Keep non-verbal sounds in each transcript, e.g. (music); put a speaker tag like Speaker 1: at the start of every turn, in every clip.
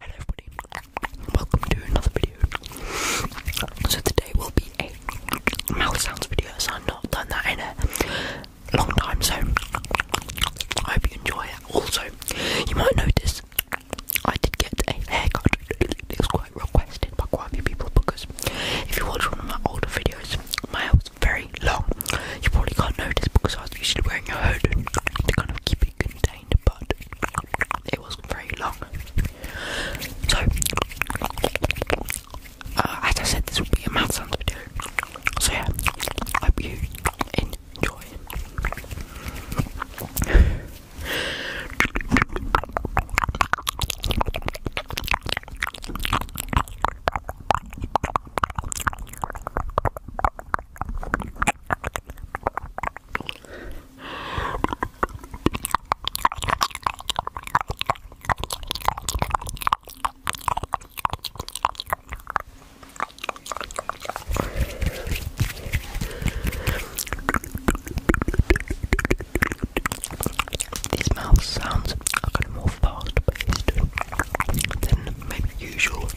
Speaker 1: Hello everybody, welcome to another video. So today will be a mouth sounds video, so I've not done that in a long time, so I hope you enjoy it. Also, you might notice I did get a haircut. It was quite requested by quite a few people because if you watch one of my older videos, my hair was very long. You probably can't notice because I was usually wearing a hood to kind of keep it contained but it was very long. So, uh, as I said, this will be a mad sounds video. So yeah, hope you enjoy. These mouth sounds are kind of more fast paced than maybe usual.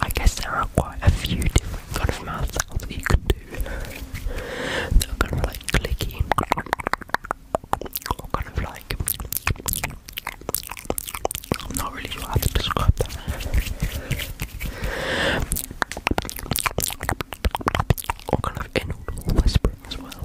Speaker 1: I guess there are quite a few different kinds of mouth you can they're kind of like clicky, kind of like. I'm not really sure how to describe that. kind of inaudible whispering as well.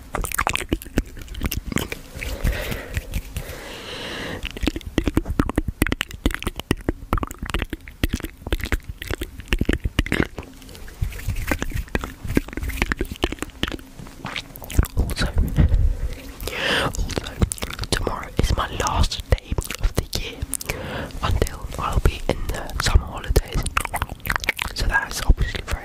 Speaker 1: Also, tomorrow is my last day of the year until I'll be in the summer holidays. So that is obviously very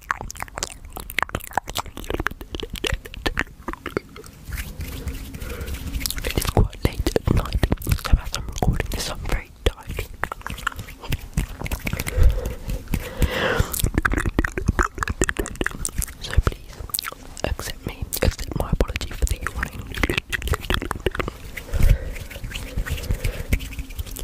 Speaker 1: It is quite late at night, so as I'm recording this, I'm very tired. So please accept me, accept my apology for the yawning.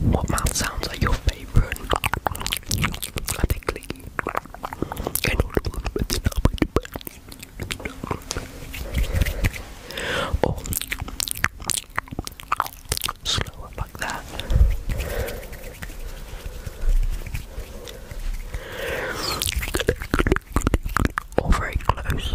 Speaker 1: What sounds are your favourite? I think clicky. Or oh.
Speaker 2: slower like that or very close.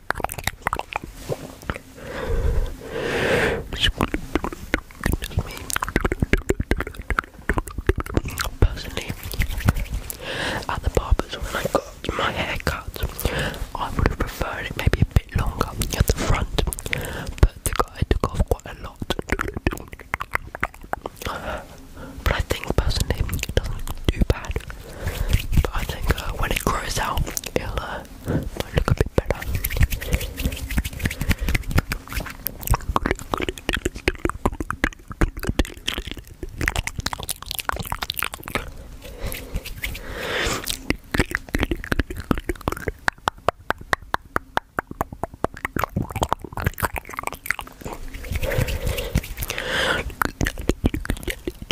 Speaker 2: Personally, at the barbers when I got my hair cut, I would have preferred it maybe a bit longer at the front, but the guy took off quite a lot. But I think personally, it doesn't do bad. But I think uh, when it grows out, it'll uh, look a bit better.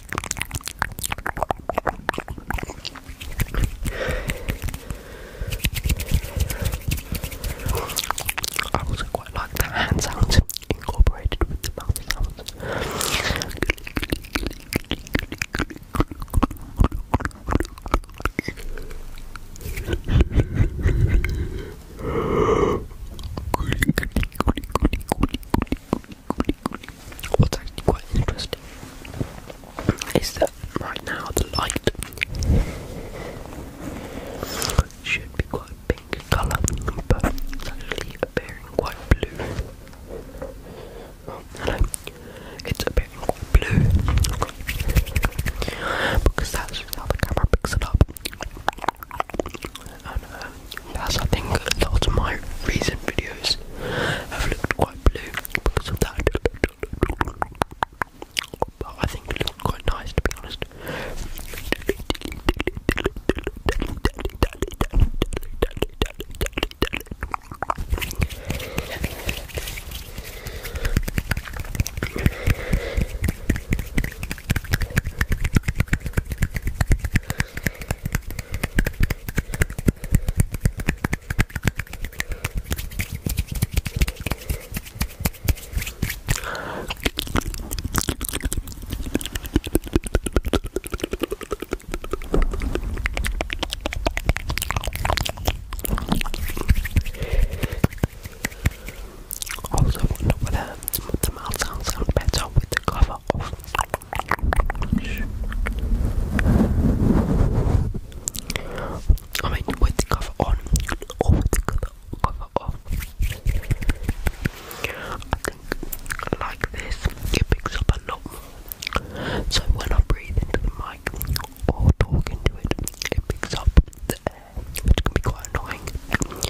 Speaker 2: I
Speaker 3: also quite like the hand sounds incorporated with the mouth sounds. (laughs) What's actually quite interesting is that right now the light should be quite pink colour, but it's actually appearing quite blue. Oh, hello. It's appearing quite blue because that's how the camera picks it up. Um, that's I think a lot of my recent videos have looked quite blue because of that. But I think it looked quite nice to be honest.
Speaker 1: Also wonder the mouth sounds sound better with the coffee. Cover off. I mean, with the cover on or oh, the cover, off. like this, it picks up a lot more. So when I breathe into the mic or talk into it, it picks up the air, which can be quite annoying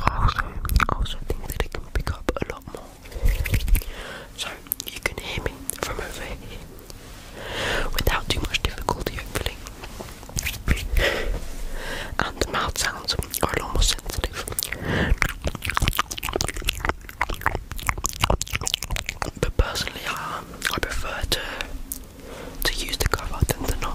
Speaker 1: also, also think that it can pick up a lot more. So you can hear me from over here
Speaker 3: without too much difficulty, hopefully. And the mouth sounds are a lot more sensitive. But personally, I prefer to to use the cover than to not.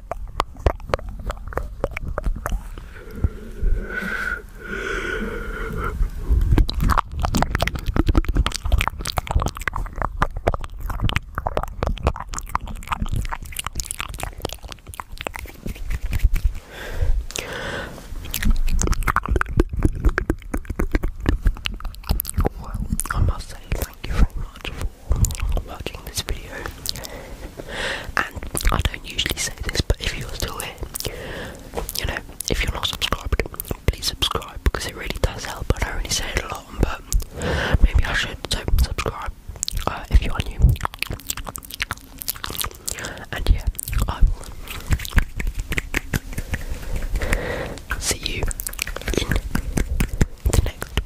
Speaker 1: Well, I must say thank you very much for watching this video. And I don't usually say this, but if you're still here, you know, if you're not subscribed, please subscribe because it really does help. I don't really say it a lot, but maybe I should. So subscribe uh, if you are new. And yeah, I will see you in the next